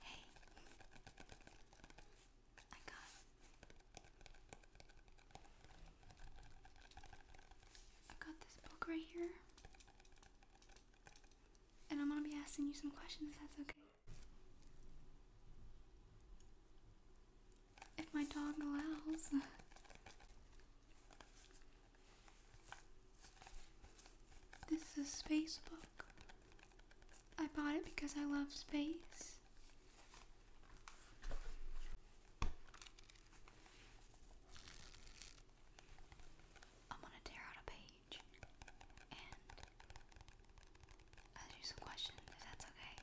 Hey, I got I got this book right here. And I'm gonna be asking you some questions if that's okay if my dog allows. This is a space book. I bought it because I love space. I'm gonna tear out a page and I'll some questions if that's okay.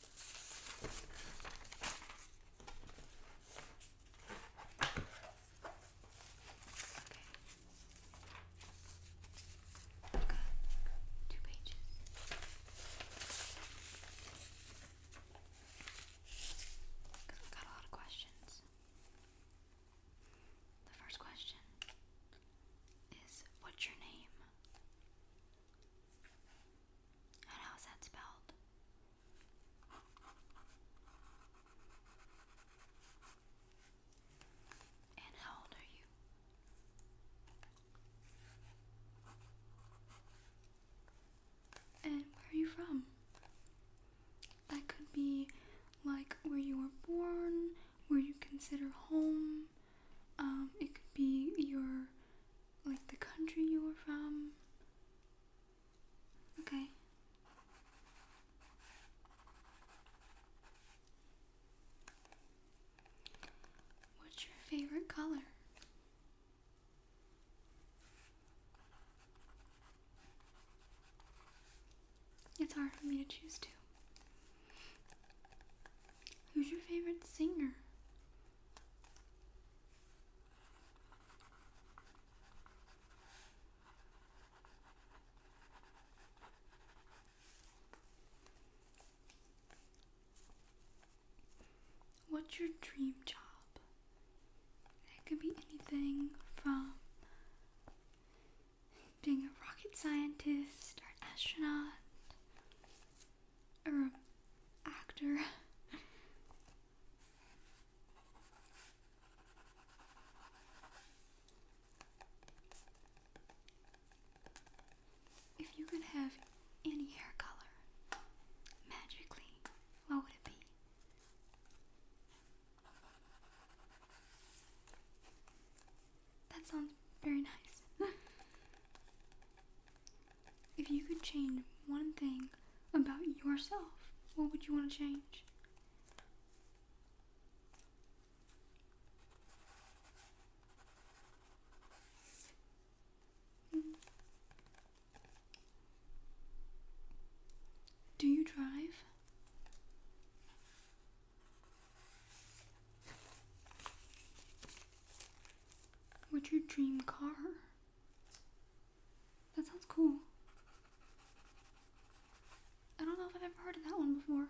I've two pages. i got a lot of questions. The first question is, what's your name? And how's that spelled? And how old are you? And where are you from? That could be like where you were born, where you consider home. Um, it could be your like the country you were from. Okay. What's your favorite color? It's hard for me to choose two. Who's your favorite singer? What's your dream job? It could be anything from being a rocket scientist or astronaut or actor. if you could have any hair color magically, what would it be? That sounds very nice. If you could change one thing about yourself, what would you want to change? Do you drive? What's your dream car? That sounds cool. I don't know if I've ever heard of that one before.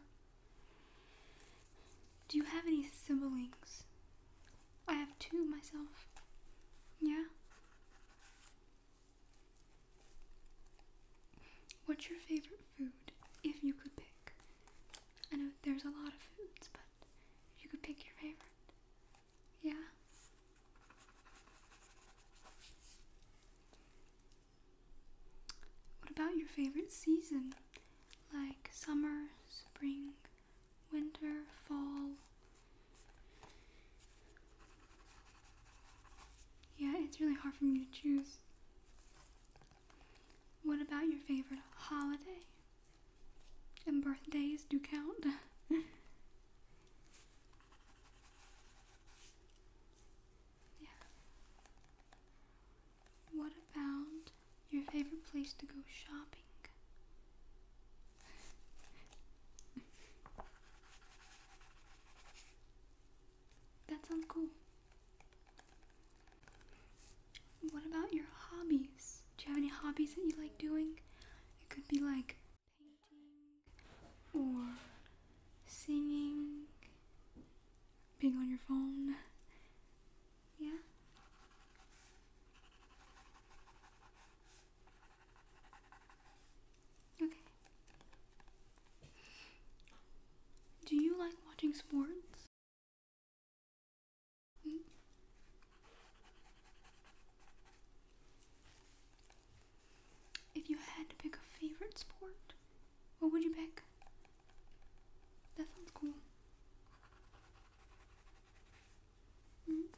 Do you have any siblings? I have two myself. Yeah? What's your favorite food if you could pick? I know there's a lot of foods, but. You could pick your favorite. Yeah. What about your favorite season? Like summer, spring, winter, fall? Yeah, it's really hard for me to choose. What about your favorite holiday? And birthdays do count. yeah, what about your favorite place to go shopping? that sounds cool. What about your hobbies? Do you have any hobbies that you like doing? It could be like painting or singing, being on your phone. Yeah? Okay. Do you like watching sports? Mm-hmm. If you had to pick a favorite sport, what would you pick? That sounds cool. Mm-hmm.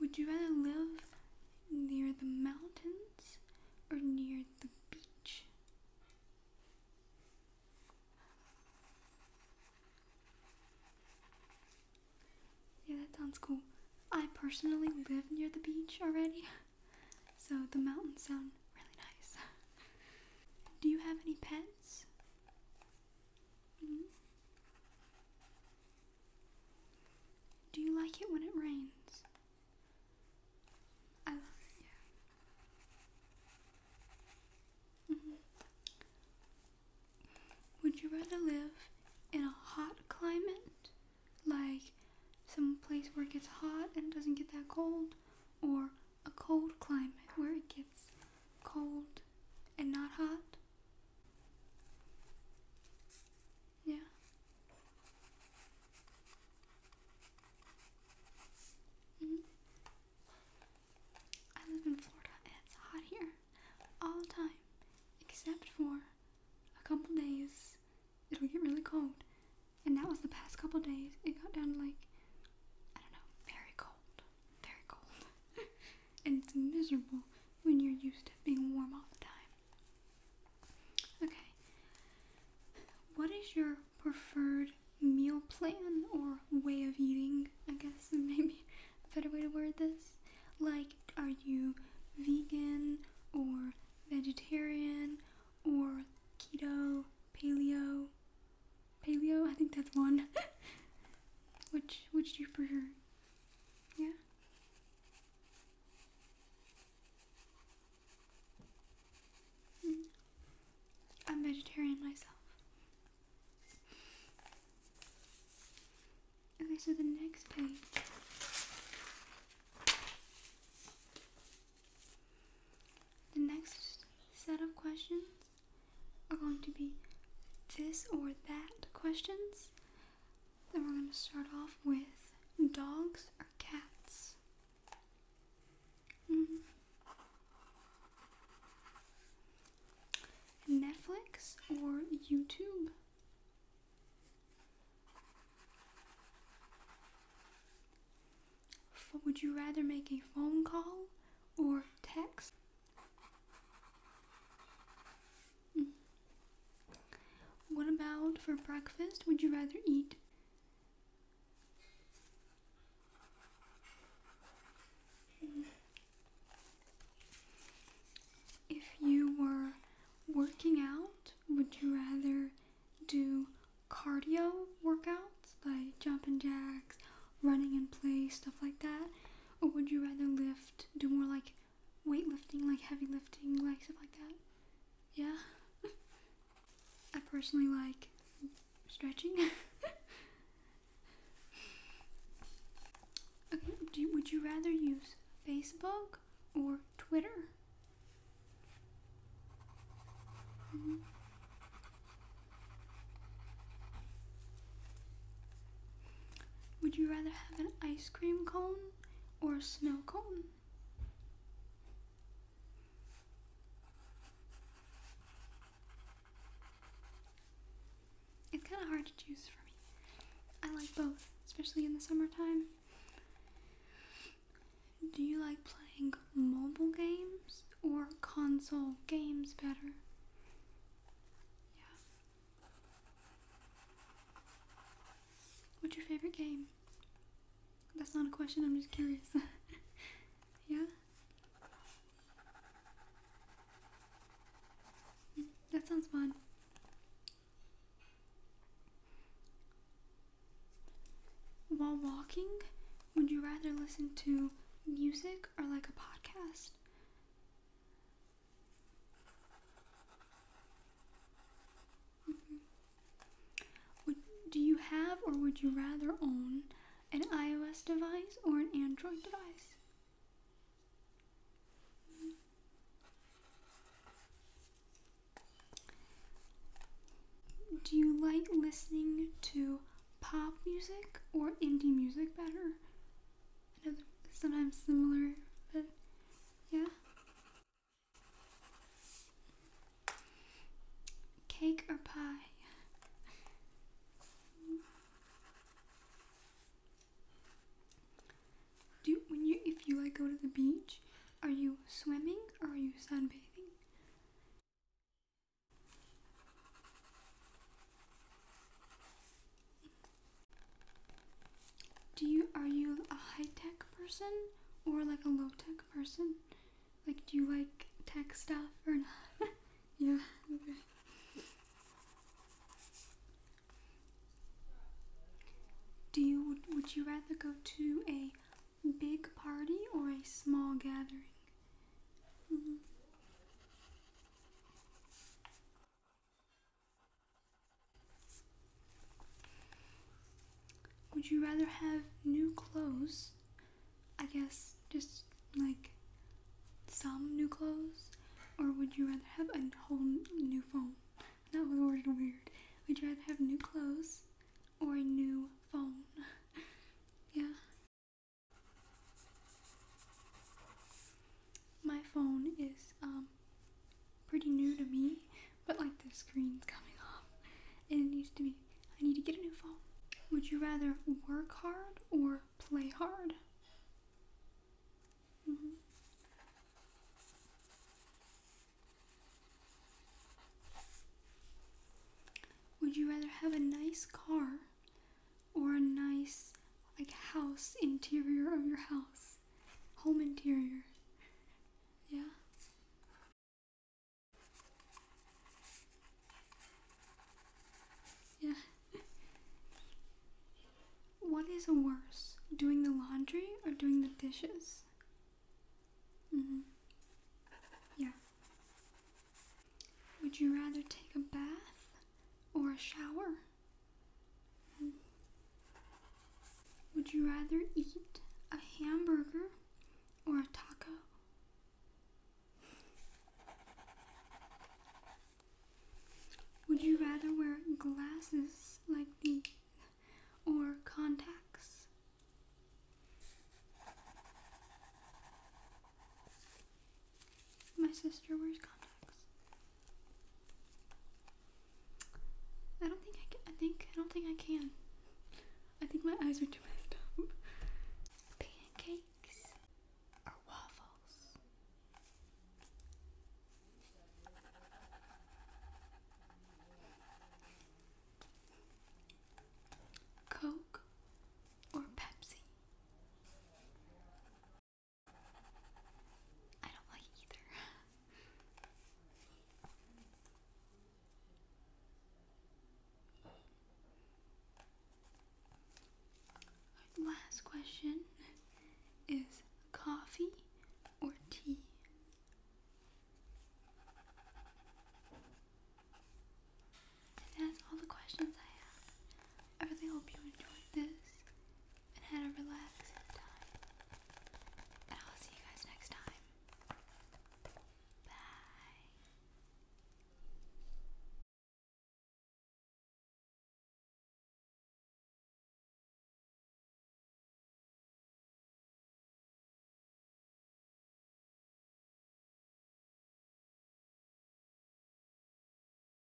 Would you rather live near the mountains or near the beach? Yeah, that sounds cool. I personally live near the beach already, so the mountains sound really nice. Do you have any pets? Mm-hmm. Do you like it when it rains? Mm-hmm. Would you rather live in a hot climate, like some place where it gets hot and doesn't get that cold, or a cold climate where it gets cold and not hot? Yeah. -hmm. I live in Florida and it's hot here all the time, except for a couple days it'll get really cold. And that was the past couple days. It got down to like, I don't know, very cold. Very cold. and it's miserable when you're used to being warm all the time. Okay. What is your preferred meal plan or way of eating? I guess maybe a better way to word this. Like, are you vegan or vegetarian or keto, paleo? Paleo, I think that's one. which which do you prefer? Yeah. Hmm. I'm vegetarian myself. Okay, so the next page. The next set of questions are going to be this or that questions. Then we're going to start off with dogs or cats. Mm-hmm. Netflix or YouTube? would you rather make a phone call or text? Mm. What about for breakfast? Would you rather eat? If you were working out, would you rather do cardio workouts like jumping jacks, running in place, stuff like that? Or would you rather lift, do more like weightlifting, like heavy lifting, like stuff like that. Yeah. I personally like stretching. would you rather use Facebook or Twitter? Mm-hmm. Would you rather have an ice cream cone or a snow cone? It's kind of hard to choose for me. I like both, especially in the summertime. Do you like playing mobile games or console games better? Yeah. What's your favorite game? That's not a question, I'm just curious. yeah? That sounds fun. While walking, would you rather listen to music or like a podcast? Mm-hmm. do you have or would you rather own an iOS device or an Android device? Mm-hmm. Do you like listening to pop music or indie music better? sometimes similar, but yeah. Cake or pie? Do when you if you like go to the beach, are you swimming or are you sunbathing? Do you are you a high tech person or like a low tech person? Like, do you like tech stuff or not? yeah. Do you would, you rather go to a big party or a small gathering? Mm-hmm. Would you rather have new clothes? I guess just like some new clothes? Or would you rather have a whole new phone? That was worded weird. Would you rather have new clothes or a new phone? yeah my phone is um, pretty new to me, but like the screen's coming off and it needs to be, I need to get a new phone. Would you rather work hard or play hard? Mm-hmm. Would you rather have a nice car or a nice like house interior of your house? Home interior. Yeah. Yeah. What is worse, doing the laundry or doing the dishes? Mm hmm. Yeah. Would you rather take a bath or a shower? Would you rather eat a hamburger or a taco? Would you rather wear glasses like these or contacts? My sister wears contacts. I don't think I can. I think I don't think I can. I think my eyes are too messed up. Pancakes or waffles? Coke or Pepsi? I don't like either. Last question is coffee or tea? that's all the questions I have. I really hope you enjoyed this and had a relaxed time. And I'll see you guys next time. Bye.